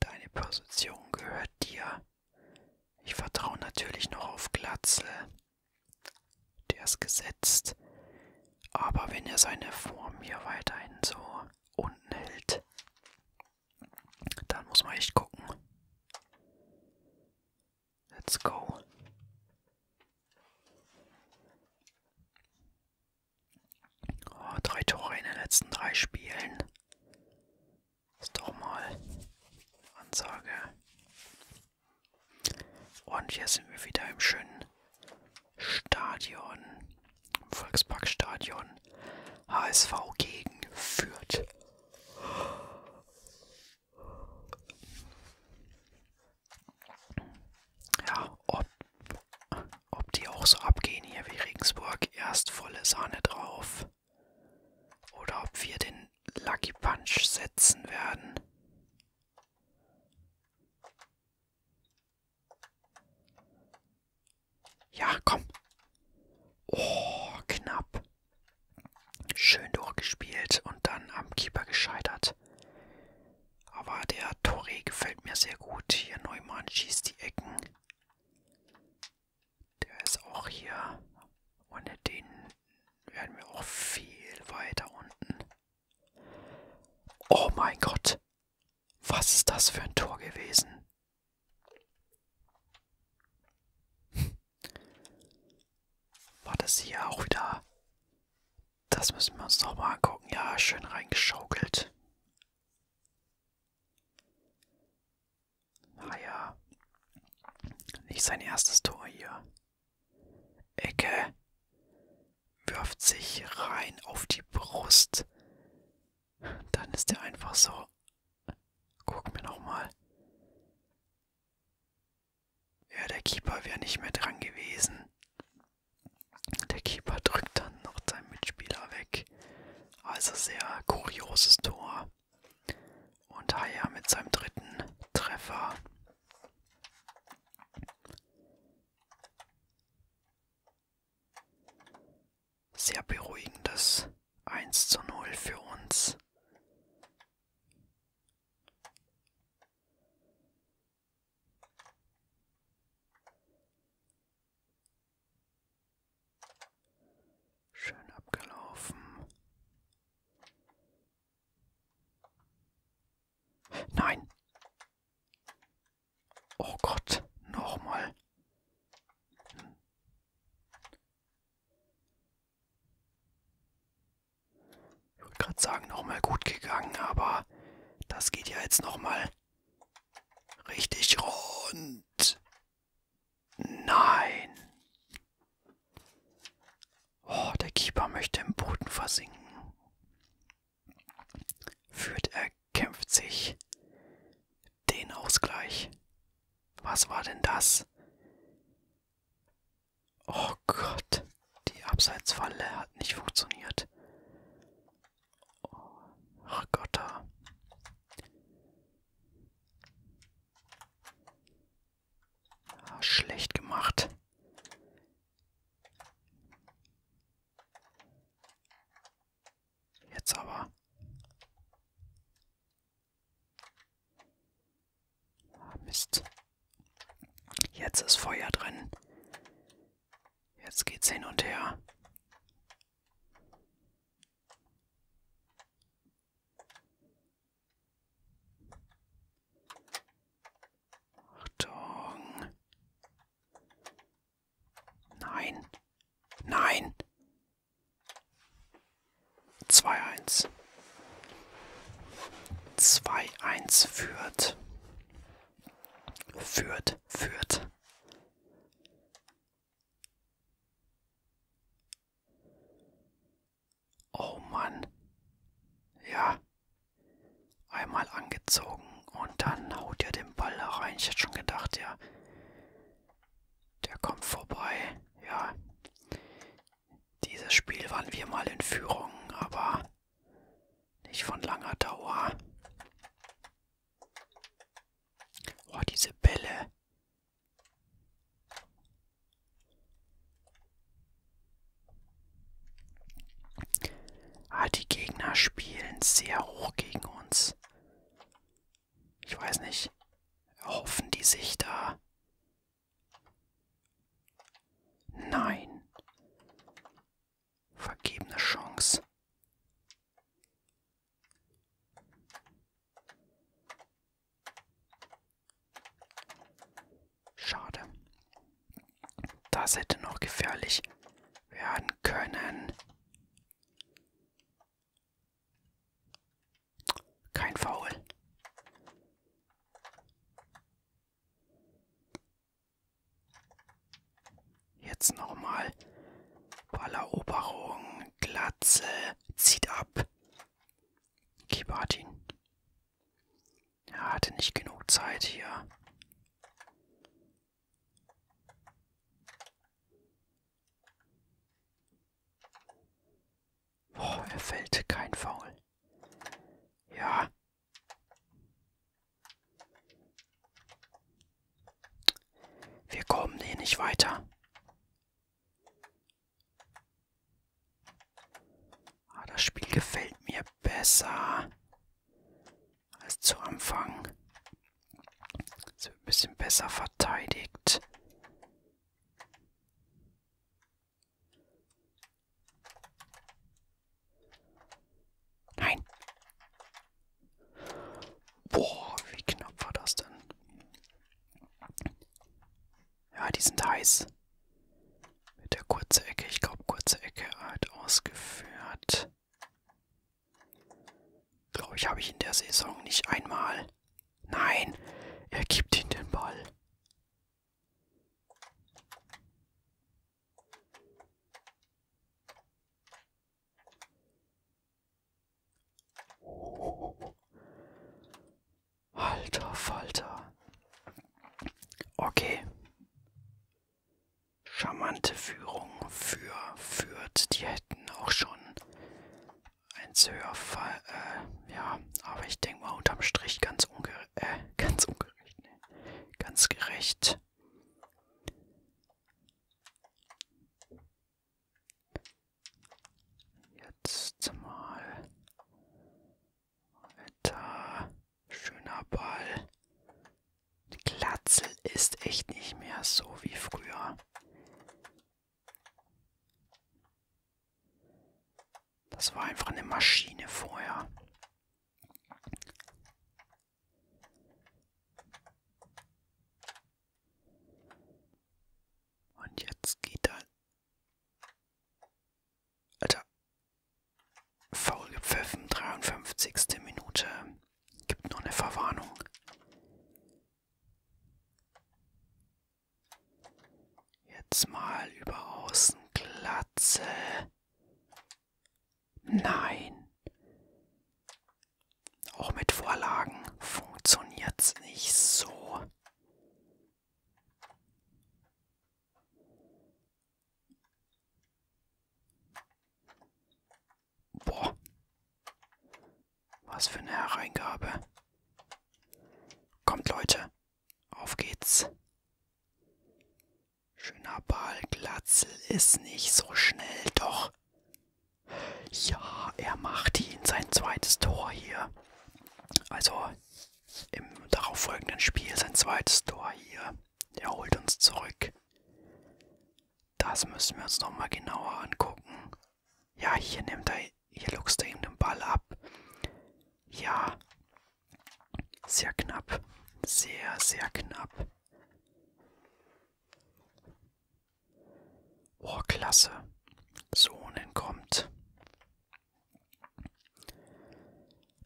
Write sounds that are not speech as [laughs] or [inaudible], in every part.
Deine Position gehört dir. Ich vertraue natürlich noch auf Glatzel. Der ist gesetzt. Aber wenn er seine Form hier weiterhin so unten hält, dann muss man echt gucken. Let's go. Oh, drei Tore in den letzten drei Spielen. Ist doch mal Ansage. Und hier sind wir wieder im schönen Stadion, im Volksparkstadion. HSV gegen Fürth. Ja, ob ob die auch so abgehen hier wie Regensburg. Erst volle Sahne drauf. Oder ob wir den Lucky Punch setzen werden. Ja, komm. Oh, knapp. Schön durchgespielt und dann am Keeper gescheitert. Aber der Torre gefällt mir sehr gut. Hier Neumann schießt die Ecken. Der ist auch hier. Ohne den werden wir auch viel weiter unten. Oh mein Gott. Was ist das für ein Tor gewesen? War das hier auch wieder das müssen wir uns noch mal angucken. Ja, schön reingeschaukelt. Naja. Ah nicht sein erstes Tor hier. Ecke. Wirft sich rein auf die Brust. Dann ist er einfach so. Guck mir nochmal. Ja, der Keeper wäre nicht mehr dran gewesen. Der Keeper drückt dann noch seinen Mitspieler weg. Also sehr kurioses Tor. Und Haya mit seinem dritten Treffer. Sehr beruhigendes 1 zu 0 für uns. Schön abgelaufen. Nein. Oh Gott, nochmal. Hm. Ich wollte gerade sagen, nochmal gut gegangen, aber das geht ja jetzt nochmal richtig rund. Nein. Oh, der Keeper möchte im Boden versinken. Führt er kämpft sich den Ausgleich. Was war denn das? Oh Gott, die Abseitsfalle hat nicht funktioniert. Oh, ach Gott, da. Ja, ah, schlecht gemacht. Jetzt aber. Ah, Mist. Jetzt ist Feuer drin. Jetzt geht's hin und her. Achtung. Nein. Nein. 2-1. 2-1 führt. Führt, führt. Oh Mann. Ja. Einmal angezogen und dann haut er den Ball da rein. Ich hätte schon gedacht, ja. Der kommt vorbei. Ja. Dieses Spiel waren wir mal in Führung, aber nicht von langer Dauer. Oh, diese Bälle. Ah, die Gegner spielen sehr hoch gegen uns. Ich weiß nicht, erhoffen die sich da Nein. Vergebene Chance. Schade. Das hätte noch gefährlich werden können. Kein Foul. Jetzt nochmal. Balleroberung. Glatze. Zieht ab. Keeper hat ihn. Er hatte nicht genug Zeit hier. Oh, er fällt kein Foul. Ja. Wir kommen hier nicht weiter. Ah, das Spiel gefällt mir besser als zu Anfang. Es wird ein bisschen besser verteidigt. Nein. Boah, wie knapp war das denn? Ja, die sind heiß. Mit der kurzen Ecke, ich glaube, kurze Ecke halt ausgeführt. Glaube ich, habe ich in der Saison nicht einmal Nein, er gibt ihm den Ball. Alter Falter. Okay. Charmante Führung für Fürth. Die hätten auch schon ein höher Fall, äh, ja, aber ich denke mal unterm Strich ganz ungerecht, äh, [laughs] ganz ungerecht, ne, ganz gerecht. Jetzt mal weiter, schöner Ball. Die Glatzel ist echt nicht mehr so wie früher. Das war einfach eine Maschine vorher. Und jetzt geht er. Alter. Faul gepfiffen, 53. Minute. Gibt noch eine Verwarnung. Jetzt mal über außen Glatze. Nein. Auch mit Vorlagen funktioniert's nicht so. Boah, was für eine Hereingabe. Kommt Leute, auf geht's. Schöner Ball, Glatzel ist nicht so schnell, doch. Ja, er macht ihn, sein zweites Tor hier. Also im darauffolgenden Spiel sein zweites Tor hier. Er holt uns zurück. Das müssen wir uns nochmal genauer angucken. Ja, hier nimmt er, hier luchst er ihm den Ball ab. Ja, sehr knapp. Sehr, sehr knapp. Oh, klasse. Sohnen kommt.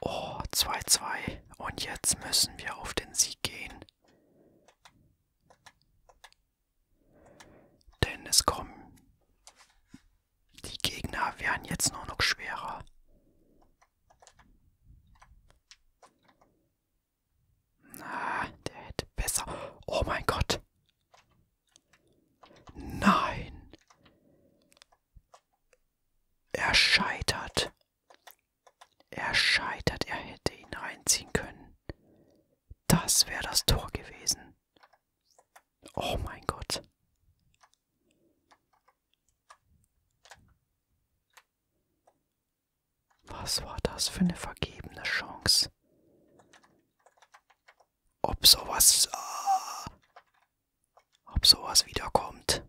Oh, 2-2. Und jetzt müssen wir auf den Sieg gehen. Denn es kommen. Die Gegner werden jetzt nur noch schwerer. Na, der hätte besser. Oh mein Gott. Nein. Er scheitert. Er scheitert. Er hätte ihn reinziehen können. Das wäre das Tor gewesen. Oh mein Gott. Was war das für eine vergebene Chance? Ob sowas... Ah, ob sowas wiederkommt.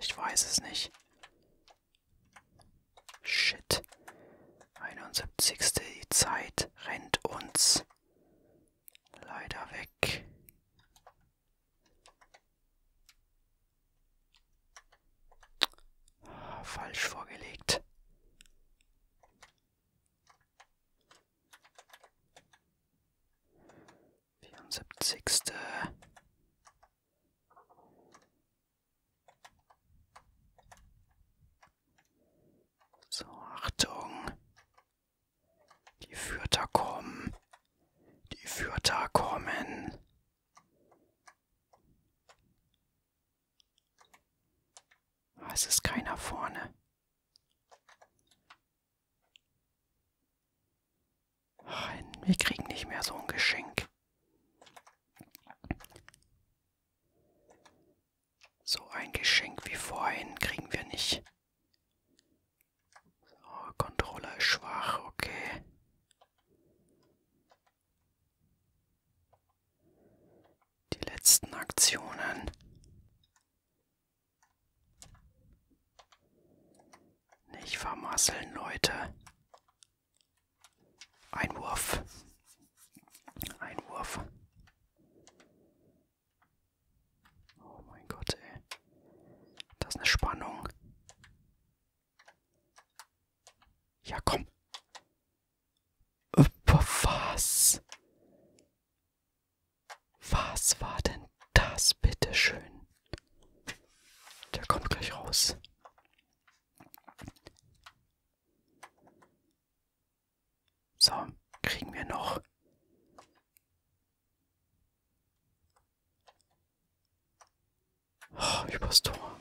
Ich weiß es nicht. Shit. 71. Die Zeit rennt uns leider weg. Ah, falsch vorgelegt. Vierundsiebzigste. So, Achtung. Die Führer kommen. Die Führer kommen. Ah, es ist keiner vorne. Wir kriegen nicht mehr so ein Geschenk. So ein Geschenk wie vorhin kriegen wir nicht. So, Controller ist schwach, okay die letzten Aktionen. Nicht vermasseln, Leute. Einwurf. Einwurf. Oh mein Gott, ey. Das ist eine Spannung. Ja, komm. Was? Was war denn das, bitteschön? Der kommt gleich raus. So, kriegen wir noch. Oh, übers Tor.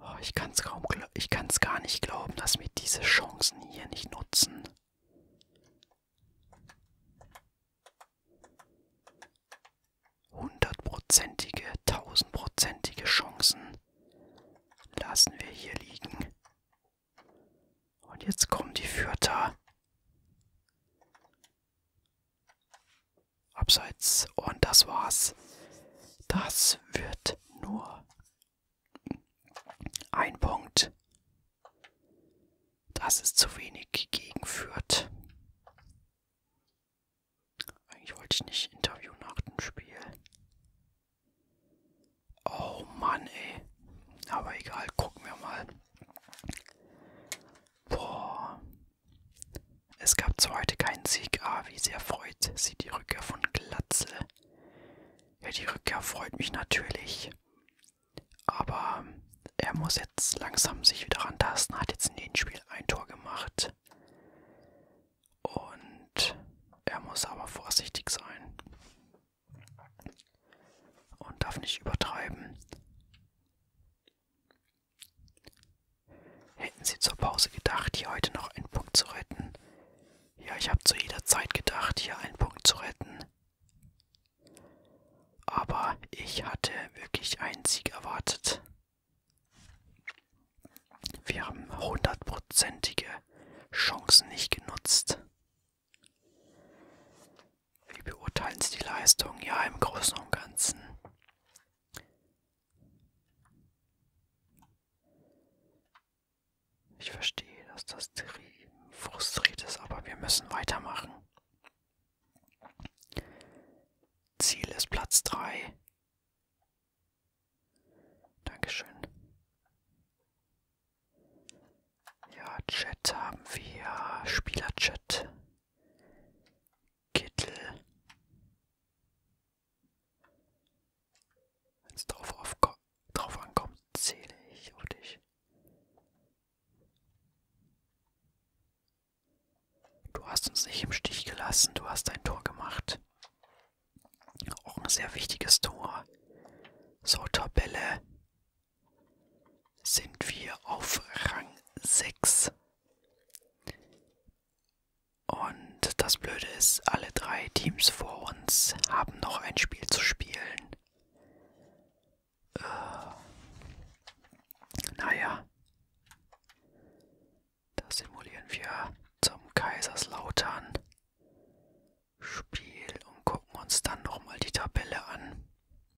Oh, ich kann es kaum, ich kann es gar nicht glauben, dass wir diese Chancen hier nicht nutzen. Hundertprozentige, tausendprozentige Chancen lassen wir hier liegen. Und jetzt kommen die Fürther. Abseits. Und das war's. Das wird nur ein Punkt. Das ist zu wenig gegen Fürth. Eigentlich wollte ich nicht interviewen nach dem Spiel. Oh Mann, ey. Aber egal, gucken wir mal. Boah, es gab zwar heute keinen Sieg, aber wie sehr freut sie die Rückkehr von Glatzel. Ja, die Rückkehr freut mich natürlich. Aber er muss jetzt langsam sich wieder rantasten, hat jetzt in jedem Spiel ein Tor gemacht. Und er muss aber vorsichtig sein. Und darf nicht übertreiben. Hätten Sie zur Pause gedacht, hier heute noch einen Punkt zu retten? Ja, ich habe zu jeder Zeit gedacht, hier einen Punkt zu retten. Aber ich hatte wirklich einen Sieg erwartet. Wir haben hundertprozentige Chancen nicht genutzt. Wie beurteilen Sie die Leistung? Ja, im Großen und Ganzen. Ich verstehe, dass das frustriert ist, aber wir müssen weitermachen. Ziel ist Platz 3. Dankeschön. Ja, Chat haben wir. Spielerchat. Kittel. Wenn es drauf, drauf ankommt, zähle ich auf dich. Du hast uns nicht im Stich gelassen, du hast ein Tor gemacht. Auch ein sehr wichtiges Tor. So, Tabelle sind wir auf Rang 6. Und das Blöde ist, alle drei Teams vor uns haben noch ein Spiel zu spielen. Äh, naja, das simulieren wir zum Kaiserslautern Spiel und gucken uns dann nochmal die Tabelle an.